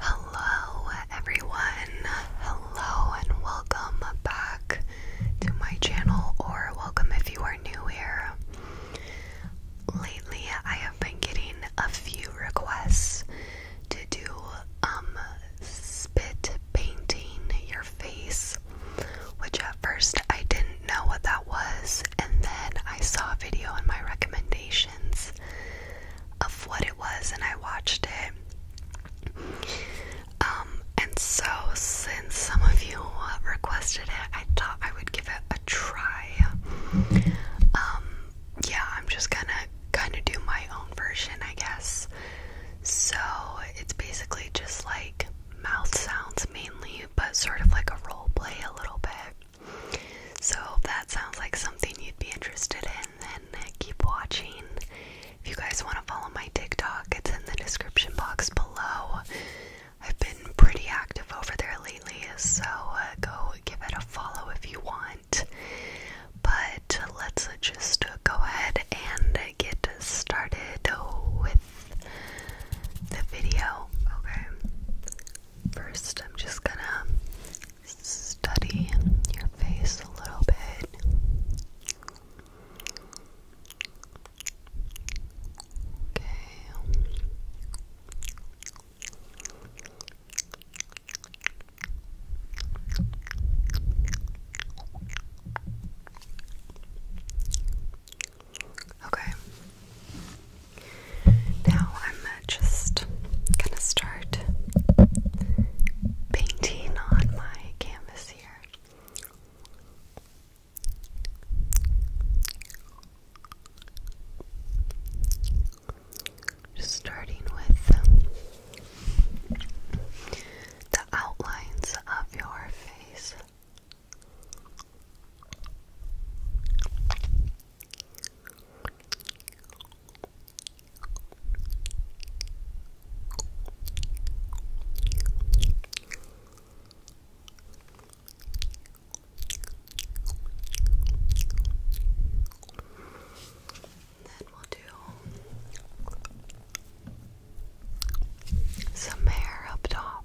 Hello, everyone. Hello, and welcome back to my channel, or welcome if you are new here. Lately, I have been getting a few requests to do um spit painting your face, which at first I didn't know what that was, and then I saw a video in my recommendations of what it was, and I watched it. Um, and so since some of you requested it, I thought I would give it a try. Um, yeah, I'm just gonna kind of do my own version, I guess. So it's basically just like mouth sounds mainly, but sort of like a role play a little bit. So if that sounds like something you'd be interested in, then keep watching. If you guys want to follow my TikTok, it's in the description box below. I've been pretty active over there lately, so uh, go give it a follow if you want. But let's just go ahead and get started with the video. Okay. First, I'm just gonna study your face a little bit. Okay. Okay. Now I'm just gonna start painting on my canvas here. Just starting with um, the outlines of your face. Then we'll do some hair up top.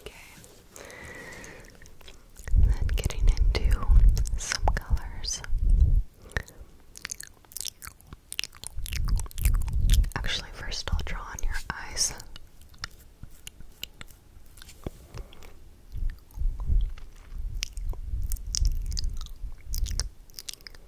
Okay. then getting into some colors. Actually, first I'll draw on your eyes.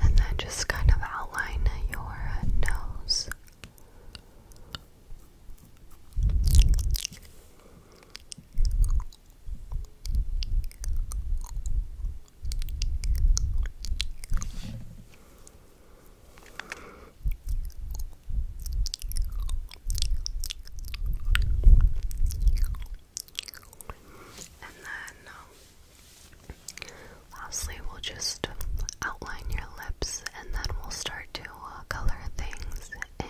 And then just kind of outline your nose. And then, um, lastly, we'll just outline your lips and then we'll start to uh, color things in.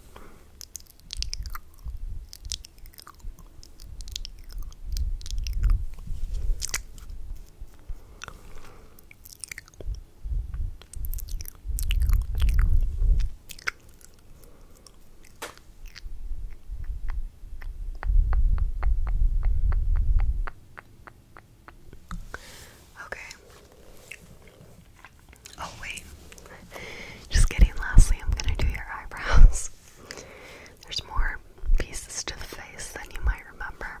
Okay. Okay. Oh, wait. Just kidding, lastly, I'm gonna do your eyebrows. There's more pieces to the face than you might remember.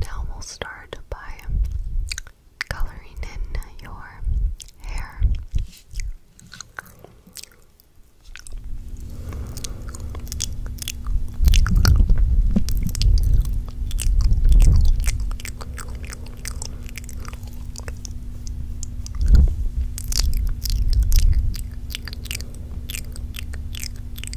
now we'll start by coloring in your hair.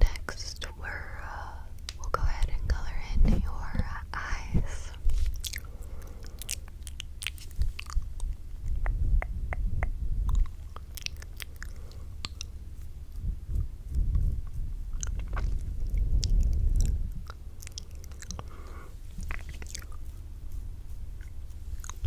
Next, we're, uh, will go ahead and color in your eyes.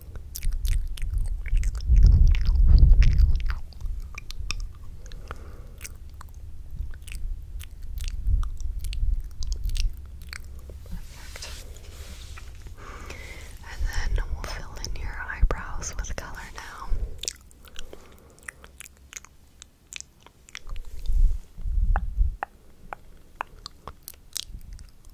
And then we'll fill in your eyebrows with color now.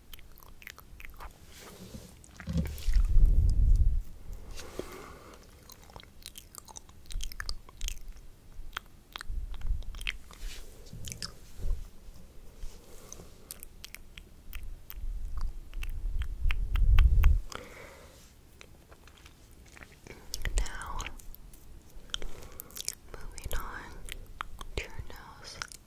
Now, moving on to your nose.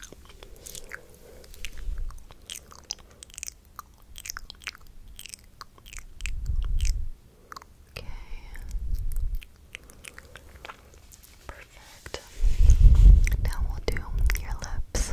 Okay. Perfect. Now we'll do your lips.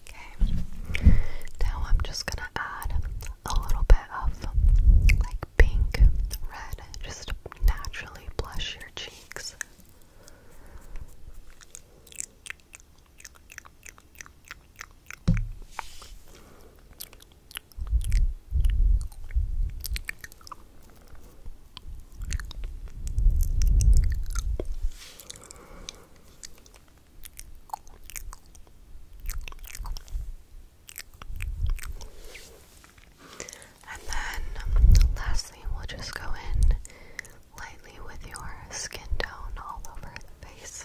Okay, now I'm just gonna add a little bit of like pink, red, just naturally blush your cheeks. And then lastly, we'll just go in lightly with your skin tone all over the face.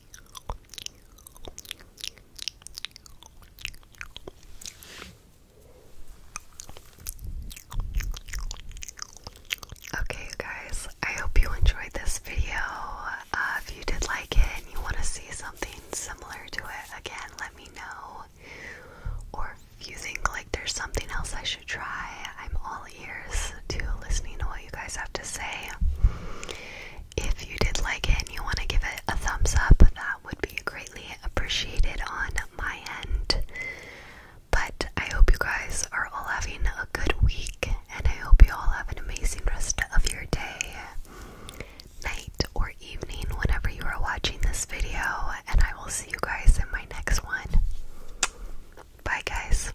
Okay, guys, I hope you enjoyed this video. Uh, if you did like it and you want to see something similar to it again, let me know. Or if you think like there's something else I should try, I'm all to listening to what you guys have to say. If you did like it and you want to give it a thumbs up, that would be greatly appreciated on my end. But I hope you guys are all having a good week, and I hope you all have an amazing rest of your day, night, or evening whenever you are watching this video. And I will see you guys in my next one. Bye, guys.